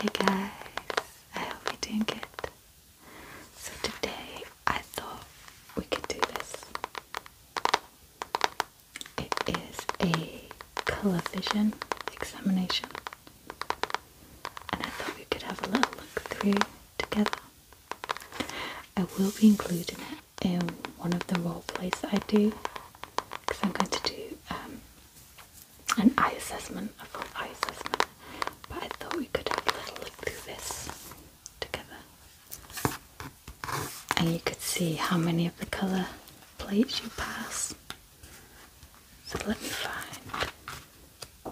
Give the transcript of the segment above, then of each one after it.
Hey guys, I hope you're doing good. So today I thought we could do this. It is a colour vision examination, and I thought we could have a little look through together. I will be including it in one of the role plays I do because I'm going to do um, an eye assessment, a full eye assessment. But I thought we could have a little look through this together. And you could see how many of the colour plates you pass. So let me find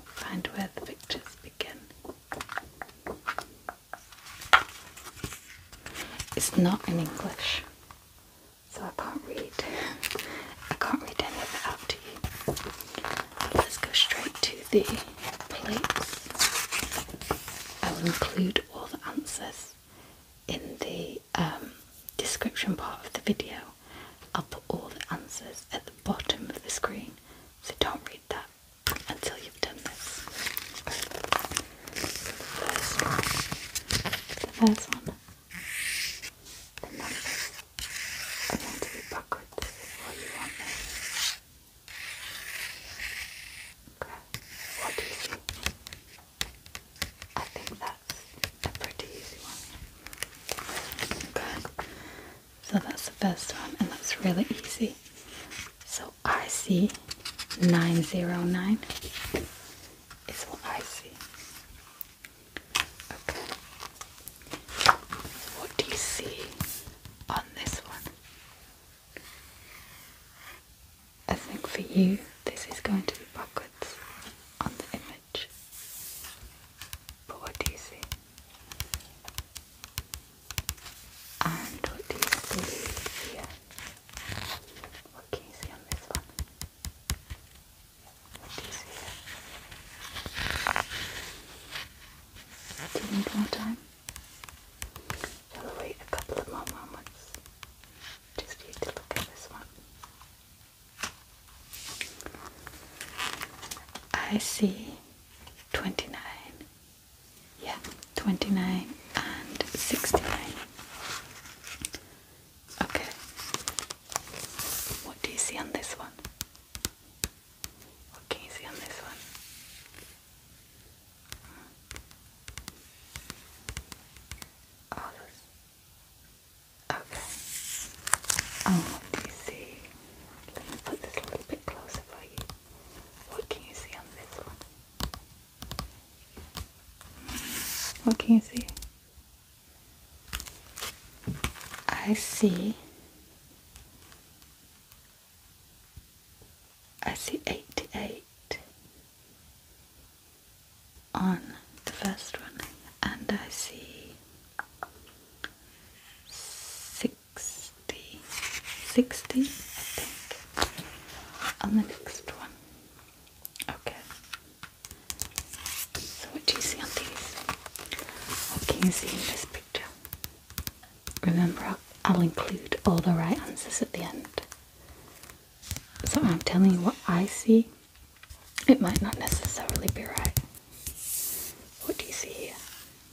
find where the pictures begin. It's not in English so I can't read. I can't read any of it out to you. let's go straight to the plates. I will include all the answers in the um, description part of the video. I'll put all the answers at the bottom of the screen, so don't read that until you've done this. The first one. The numbers are going to be backwards Okay. What do you think? I think that's a pretty easy one. Okay. So that's the first one and that's really easy. So I see 909 is what I see. Okay. What do you see on this one? I think for you this is going to be backwards on the image. But what do you see? And what do you see here? Okay, see on this one. What do you see there? Do you need more time? Shall we wait a couple of more moments? Just you to look at this one. I see 29. Yeah, 29 and 69. Okay. What do you see on this one? What can you see on this one? Oh, Okay. Oh, what do you see? Let me put this a little bit closer for you. What can you see on this one? What can you see? I see. I see 88 on the first one, and I see 60, on the next one. Okay. So what do you see on these? What can you see in this picture? Remember, I'll include all the right answers at the end. So I'm telling you what I see. It might not necessarily be right. What do you see here?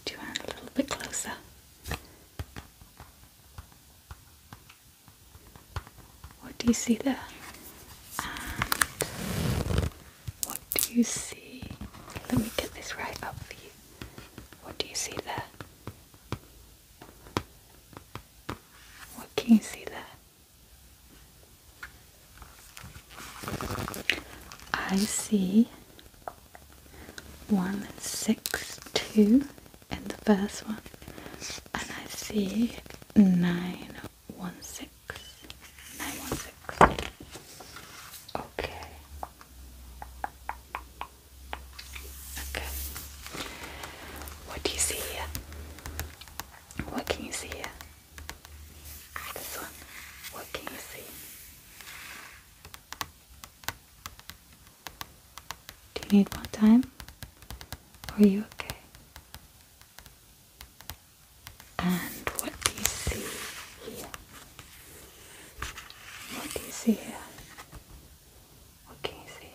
Do you want a little bit closer? What do you see there? what do you see? Let me get this right up for you. What do you see there? What can you see there? I see one six two and the first one and I see 916 916 okay okay what do you see here? what can you see here? Ah, this one what can you see? Do you need more time? Or are you okay? And what do you see here? What do you see here? can you see?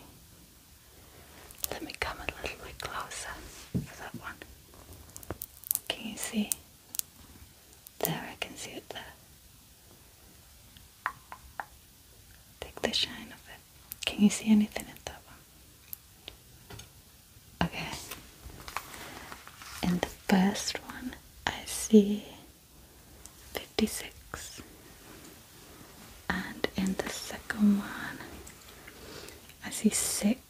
Let me come a little bit closer for that one. can you see? There, I can see it there. Take the shine of it. Can you see anything in that one? Okay. In the first one, I see 56. And in the second one, I see 6,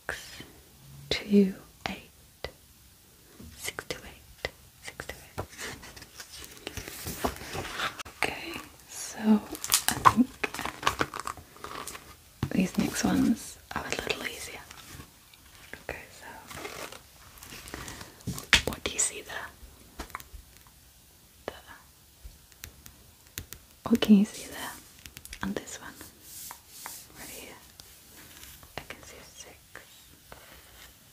Okay. So I think these next ones are a little easier. Okay, so what do you see there? There. What can you see there? And this one. Right I can see a six,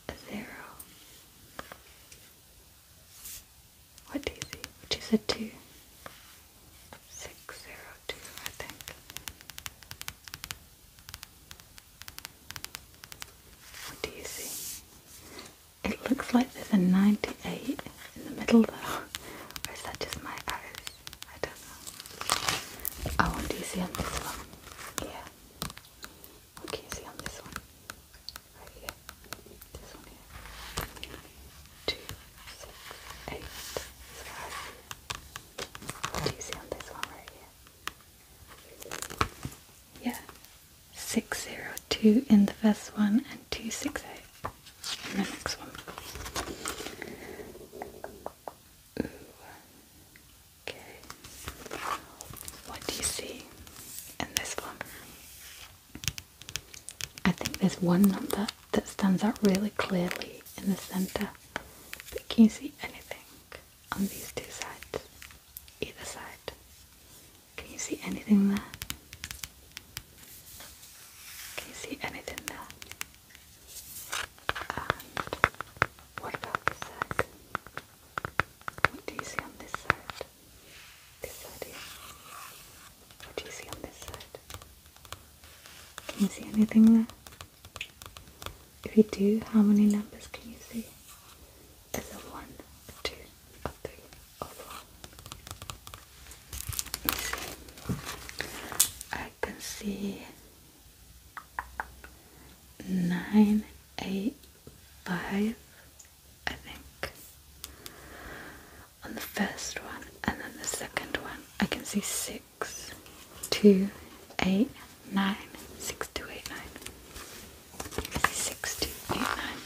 a zero, what do you see? Which is a two. Six I think. What do you see? It looks like there's a 98 in the middle though. Or is that just my eyes? I don't know. Oh, what do see on this one? Yeah. What can you see on this one? Right here. This one here. Two, six, eight. Do you see on this one right here? Yeah. Six zero two in the first one and two six eight in the next one. Okay. What do you see in this one? I think there's one number that stands out really clearly in the centre, but can you see anything on these two sides? Either side. Can you see anything there? Can you see anything there? And what about this side? What do you see on this side? This side here. What do you see on this side? Can you see anything there? If you do, how many numbers can you see? There's a one, I can see nine, eight, five, I think, on the first one, and then the second one, I can see six, two, eight, nine, six, two, eight, nine. I see six, two, eight, nine.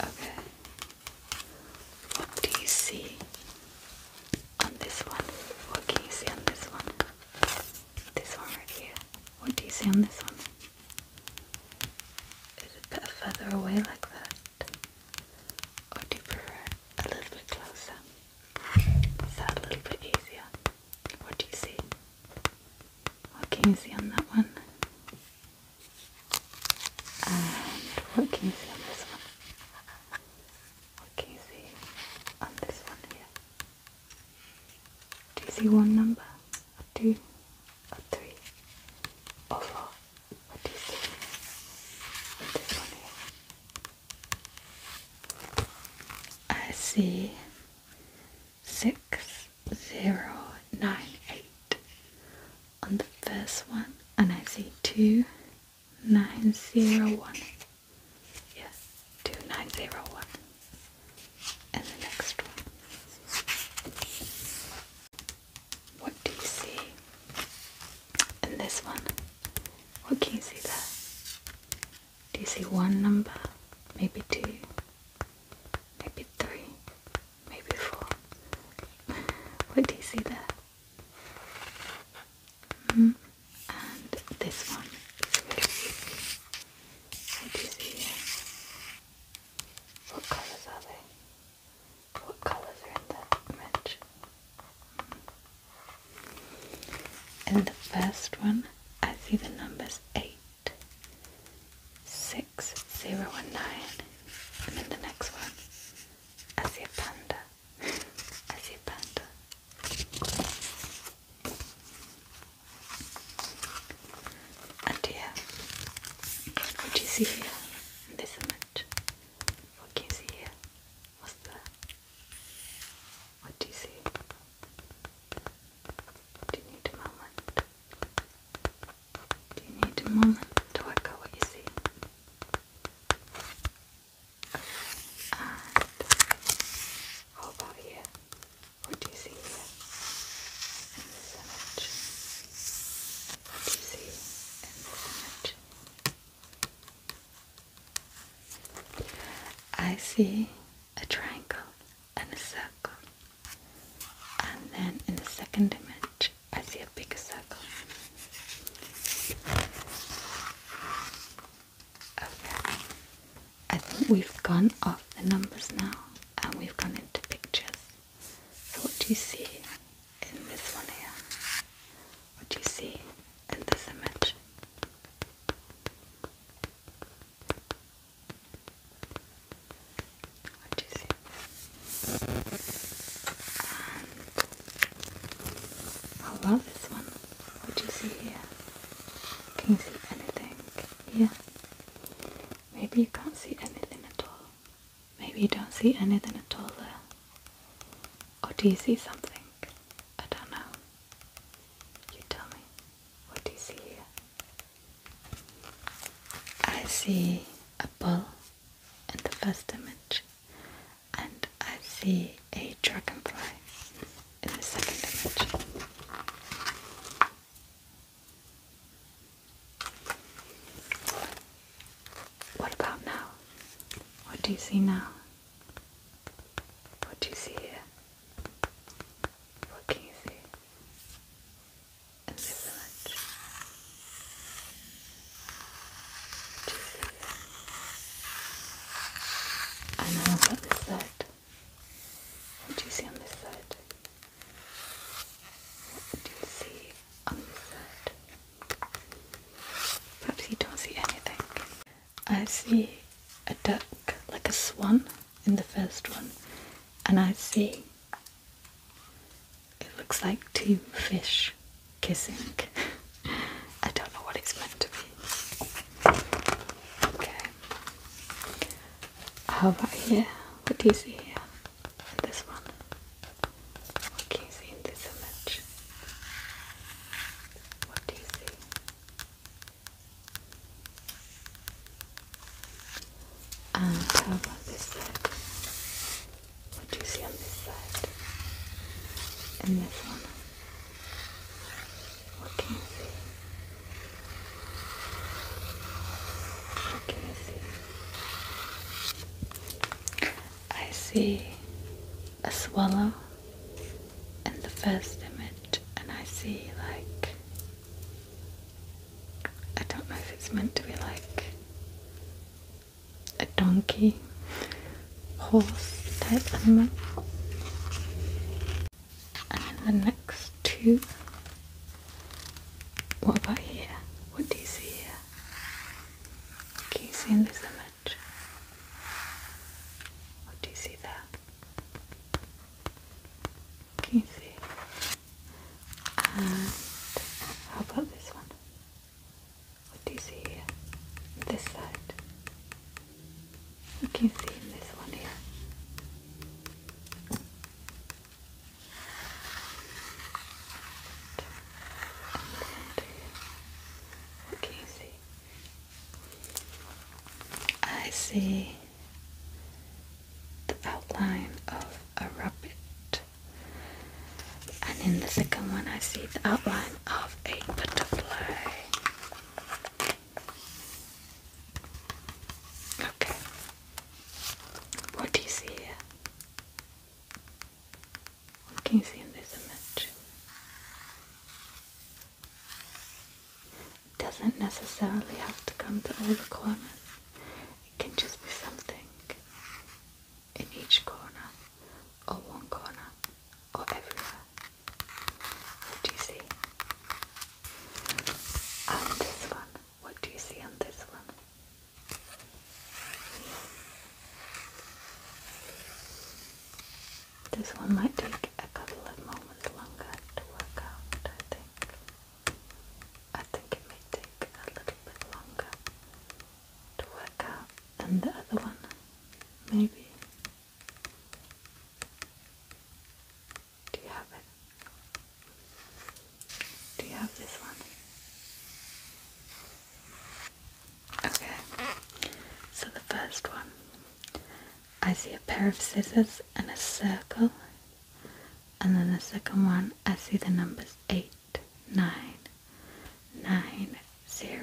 Okay. What do you see on this one? What can you see on this one? This one right here. What do you see on this one? Is it a further away like that? Or do you prefer a little bit closer? Is that a little bit easier? What do you see? What can you see on that one? And what can you see on this one? What can you see on this one here? Do you see one number? Or two? Or three? Or four? What do you see? one here. I see six zero nine eight on the first one and I see two nine zero one. Yes, two nine zero one. And the next one. What do you see? And this one. What can you see there? Do you see one number? Maybe two? Maybe three? Maybe four? What do you see there? Hmm, and this one What do you see what colours are they? What colours are in that image? In the first one, I see the numbers 8, 6, 0 and 9. in the next one, I see a panda. I see a panda. And here, what you see here in this image, what can you see here? What's there? What do you see? Do you need a moment? Do you need a moment to work out what you see? And how about here? What do you see In this image? What do you see in this image? I see a triangle and a circle. And then in the second image, I see a bigger circle. Okay. I think we've gone off the numbers now and we've gone into pictures. So what do you see in this one here? What do you see in this image? What do you see? And how this one? What do you see here? Can you see anything here? Maybe you can't see anything at all. Maybe you don't see anything at all there. Or do you see something? I don't know. You tell me. What do you see here? I see a bull in the first image, and I see a dragonfly in the second image. What about now? What do you see now? What do you see here? What can you see? In the village. do you see here? And then what is that? What do you see on this side? What do you see on this side? Perhaps you don't see anything. I see a duck, like a swan in the first one, and I see it looks like two fish kissing. I don't know what it's meant to be. Okay. How about here? What do you see here? And this one? What can you see in this image? What do you see? And how about this side? What do you see on this side? And this one? What can you see? I see a swallow in the first image, and I see like I don't know if it's meant to be like a donkey horse type animal and the next two. What about here? What do you see here? Can you see in this image? What do you see there? Can you see? And how about this one? What do you see here? This side. You can see in this one here. can you see? I see the outline of a rabbit, and in the second one, I see the outline of a butterfly. Okay. What do you see here? What can you see in this image? It doesn't necessarily have to come to all the corners. It can just be something in each corner, or one corner, or everywhere. What do you see? And this one. What do you see on this one? This one might take a couple of moments longer to work out, I think. I think it may take a little bit longer to work out than the other one, maybe. Do you have it? Do you have this one? Okay. So the first one. I see a pair of scissors and a circle. And then the second one, I see the numbers 8, 9, 9, 0,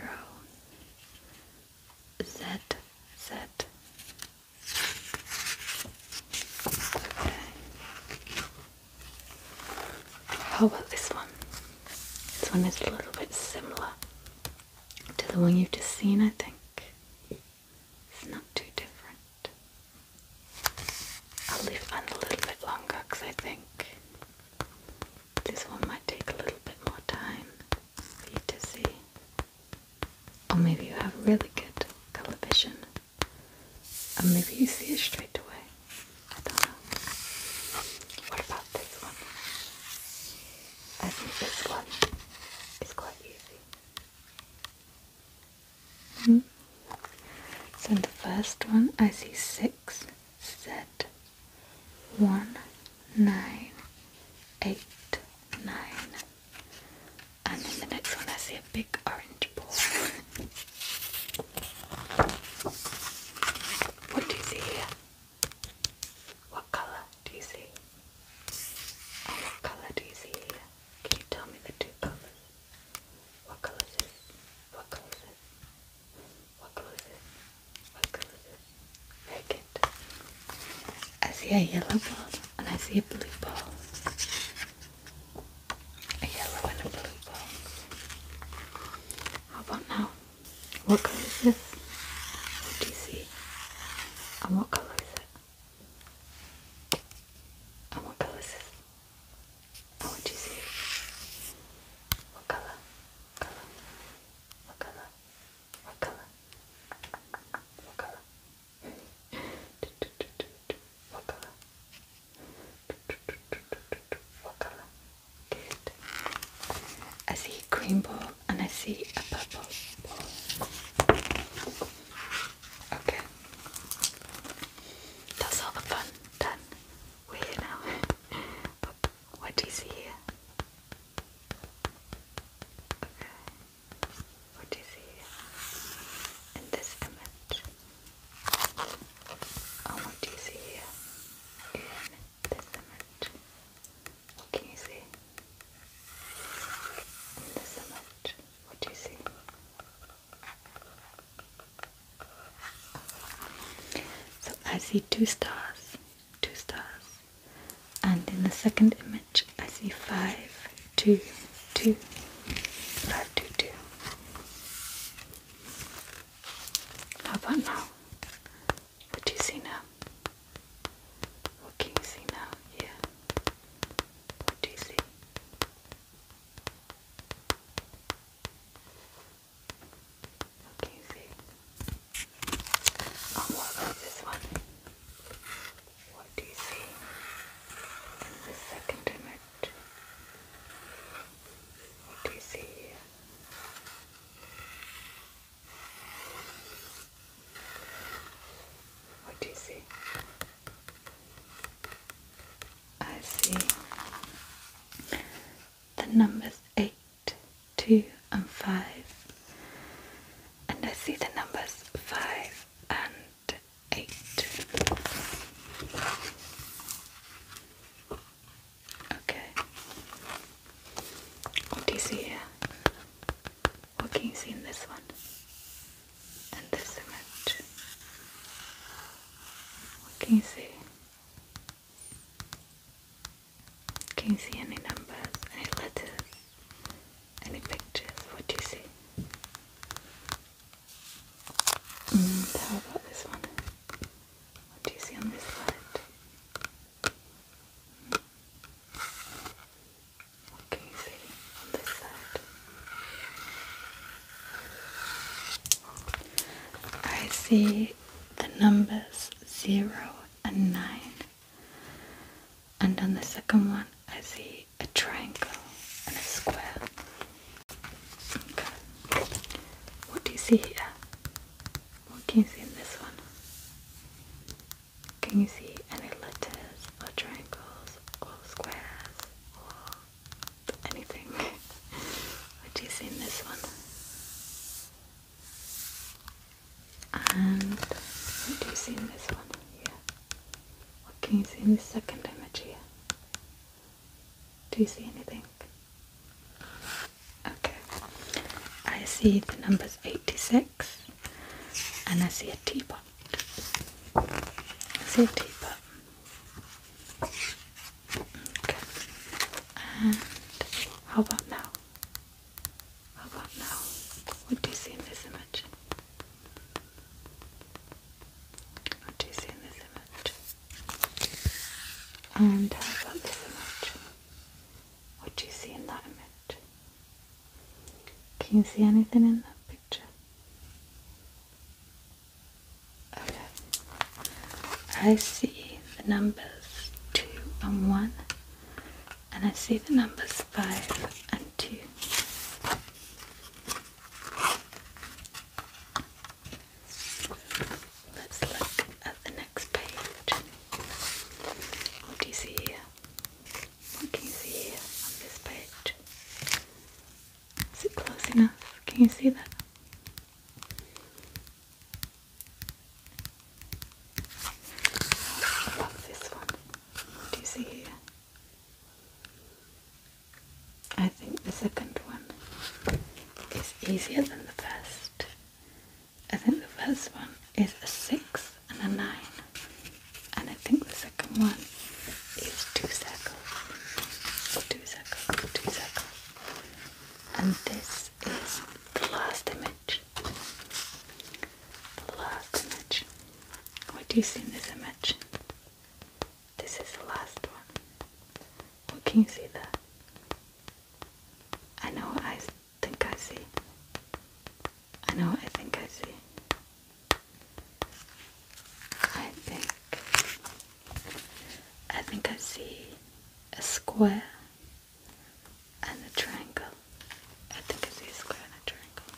Z, Z. How about this one? This one is a little bit similar to the one you've just seen, I think. It's not too different. I'll leave it on a little bit longer because I think this one might take a little bit more time for you to see. Or maybe you have really good color vision. Or maybe you see it straight away. I don't know. What about this one? I think this one is quite easy. Hmm? So in the first one I see six Z one nine eight nine and then the next one I see a big orange ball. what do you see here? What colour do you see? And oh, what colour do you see here? Can you tell me the two colours? What colour is this? What colour is this? What colour is this? What colour is this? Okay, I see a yellow ball and I see a blue ball. A yellow and a blue ball. How about now? What colour is this? What do you see? And what colour is it? And what colour is this? what do you see? What colour? Colour. What colour? What colour? What colour? What color? What I see a green ball and I see a purple ball. Okay. That's all the fun done. We're here now. what do you see Okay what you see in this image and oh, what you see in this image. What can you see? In this image, what do you see? So I see two stars, two stars, and in the second image I see five, two, two, five, two, two. How about now? What do you see now? What can you see now? Yeah. What do you see? What can you see? Oh, what about this one? What do you see in the second image? What do you see What do you see? I see the numbers 8, 2 and 5 and I see the numbers 5 and 8. Okay. What do you see here? What can you see in this one? And this image? What can you see? Can you see any numbers? Any letters? Any pictures? What do you see? Mm, how about this one? What do you see on this side? What can you see on this side? I see the numbers zero and nine and on the second one I see a triangle and a square. Okay. What do you see here? What can you see in this one? Can you see any letters or triangles or squares or anything? what do you see in this one? And what do you see in this one here? What can you see in this second image here? Do you see anything? Okay. I see the numbers 86 and I see a teapot. I see a teapot. Okay. And how about now? How about now? What do you see in this image? What do you see in this image? And how about this image? What do you see in that image? Can you see anything in that picture? Okay. I see the numbers two and one and I see the numbers 5 and 2. Let's look at the next page. What do you see here? What can you see on this page? Is it close enough? Can you see that? this one? Do you see I think the second one is easier than the first. I think the first one is a 6 and a 9. And I think the second one is 2 circles. 2 2 circles. And this is the last image the last image. What do you see in this image? This is the last one. What can you see there? I know I think I see. I know I think I see. I think I think I see a square and the triangle. I think it's a square and a triangle.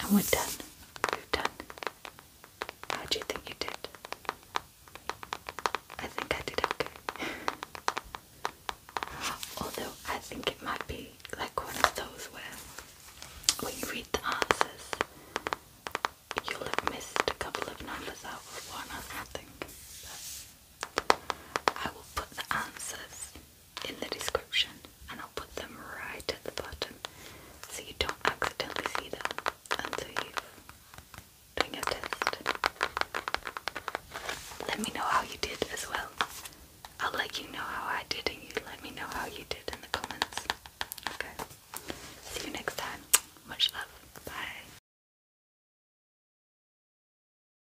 And we're done. We're done. How do you think you did? I think I did okay. Although I think it might be like one of those where when you read the answers, you'll have missed a couple of numbers out of one or something. But I will put the answers in the description and I'll put them right at the bottom so you don't accidentally see them until you've done your test. Let me know how you did as well. I'll let you know how I did and you let me know how you did in the comments. Okay. See you next time. Much love. Bye.